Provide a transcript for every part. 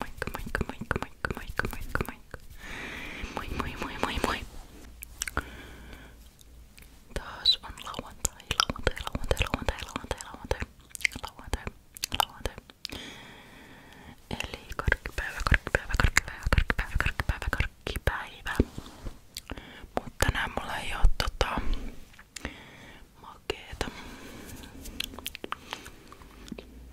Moikka, moikka, moikka, moikka, moikka, moikka, moikka. Moi, moi, moi, moi, moi. Taas on lauantai, lauantai, lauantai, lauantai, lauantai, lauantai, lauantai, lauantai. Eli karkkipäivä, karkkipäivä, karkkipäivä, karkkipäivä, karkkipäivä, karkkipäivä. Mutta tänään mulla ei oo tota makeeta.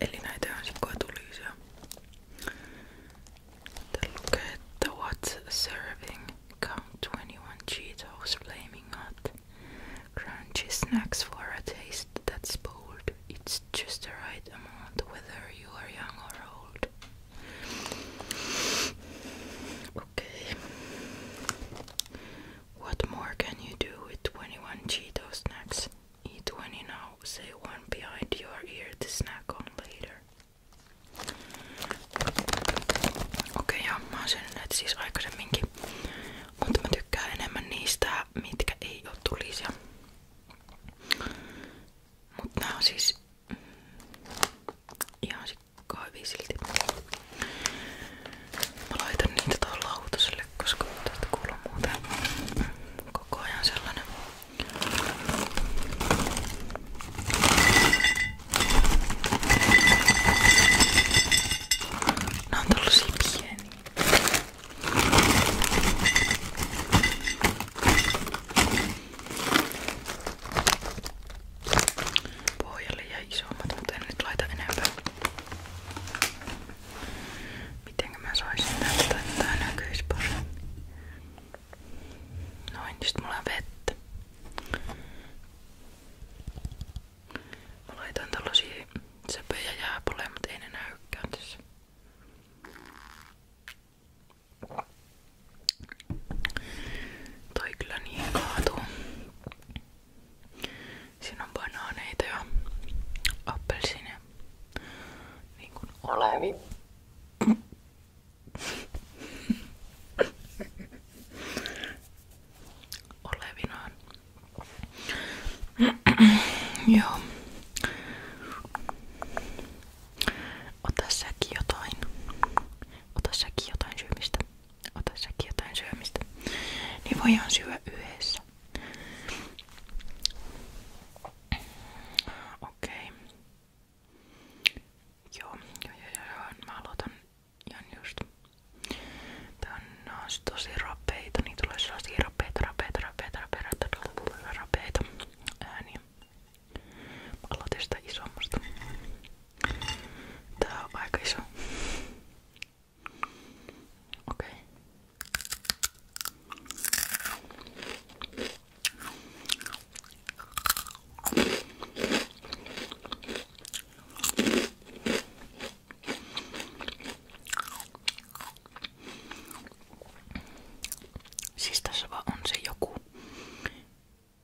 Eli näitä what's serving count 21 Cheetos flaming hot crunchy snacks for a taste that's bold. It's just the right amount whether you are young or old. Okay. What more can you do with 21 Cheeto snacks? minutes. E Eat when you know, say one behind Okei, joo, mä oon siis aikaisemminkin. Mutta mä tykkään enemmän niistä, mitkä ei oo tulisia. nää siis mm, ihan sikkaa silti. Mä laitan niitä tuohon lautaselle korville, koska tästä kuuluu muuten koko ajan sellainen. Nää on tällaisia pieniä. Pohjalle jäi isommat, mutta en nyt laita enempää. Miten mä saisin tästä, että tää näkyis paremmin? Noin, sit mulla on vettä. Mä laitan tällaisia söpöjä jääpaleja, mutta ei ne näykään tässä. Toi kyllä niin kaatuu. Siinä on banaaneita ja appelsiineja. Niin kuin olevi. Olevinaan. Joo. Ota säkin jotain. Ota säkin jotain syömistä. Ota säkin jotain syömistä. Niin voidaan syödä yhdessä kanssa. Okei. Joo, joo, joo, joo. Mä aloitan ihan just. Tää on, on tosi niin tulee sellaisia rapeita, rapeita, rapeita, rapeita, rapeita, rapeita ääniä. Mä aloitin sitä Okej. Okay. Siis tässä vaan on se joku.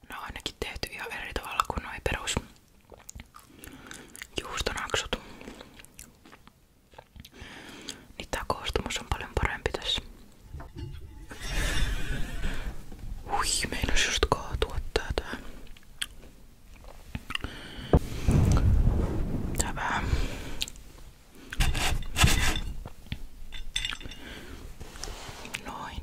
No ainakin tehty ihan eri tavalla kuin noi perus juustonaksut. Niin tää koostumus on paljon parempi tässä. Ui, meinas just kaatua tätä. Tää vähän. Noin.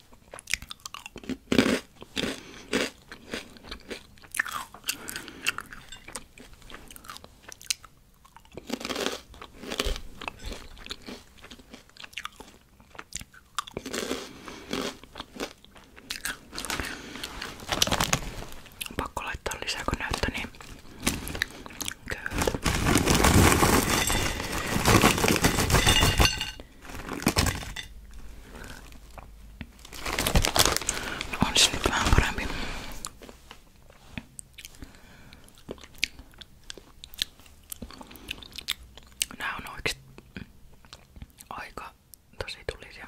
On pakko laittaa lisää, kun näyttää niin köyhältä. No on se nyt vähän parempi. Nää on oikeesti aika tosi tulisia.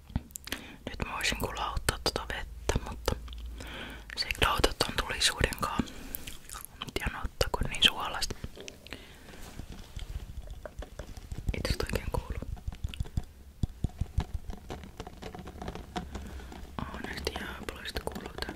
Nyt mä voisin kulauttaa tota vettä, mutta se klautot on tulisuudenkaan. En ottaako niin suolasta. Ei tästä oikein kuulu. Onesti jääpaloista kuuluu tää.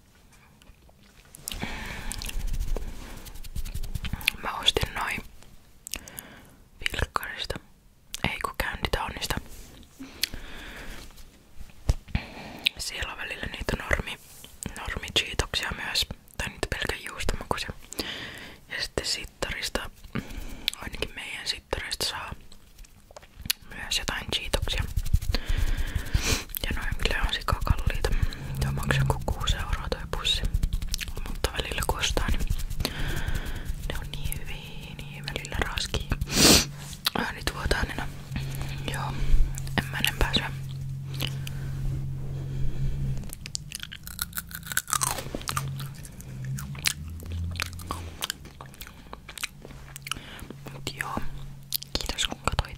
Mä ostin noin vilkkarista. Ei kun käynnitaunista. Siellä on välillä niitä normi, normi myös. Tai niitä pelkän juustomakuisia. Ja sitten sittarista, ainakin meidän sittarista saa myös jotain cheatoksia. Ja noin kyllä on sikakalliita. Tuo maksaa kuin 6 euroa toi pussi. Mutta välillä kun ostaa, niin ne on niin hyviä, niin välillä raskii. Ääni tuotaan niin Joo, en mä enempää syö. Mut joo, kiitos kun katoit.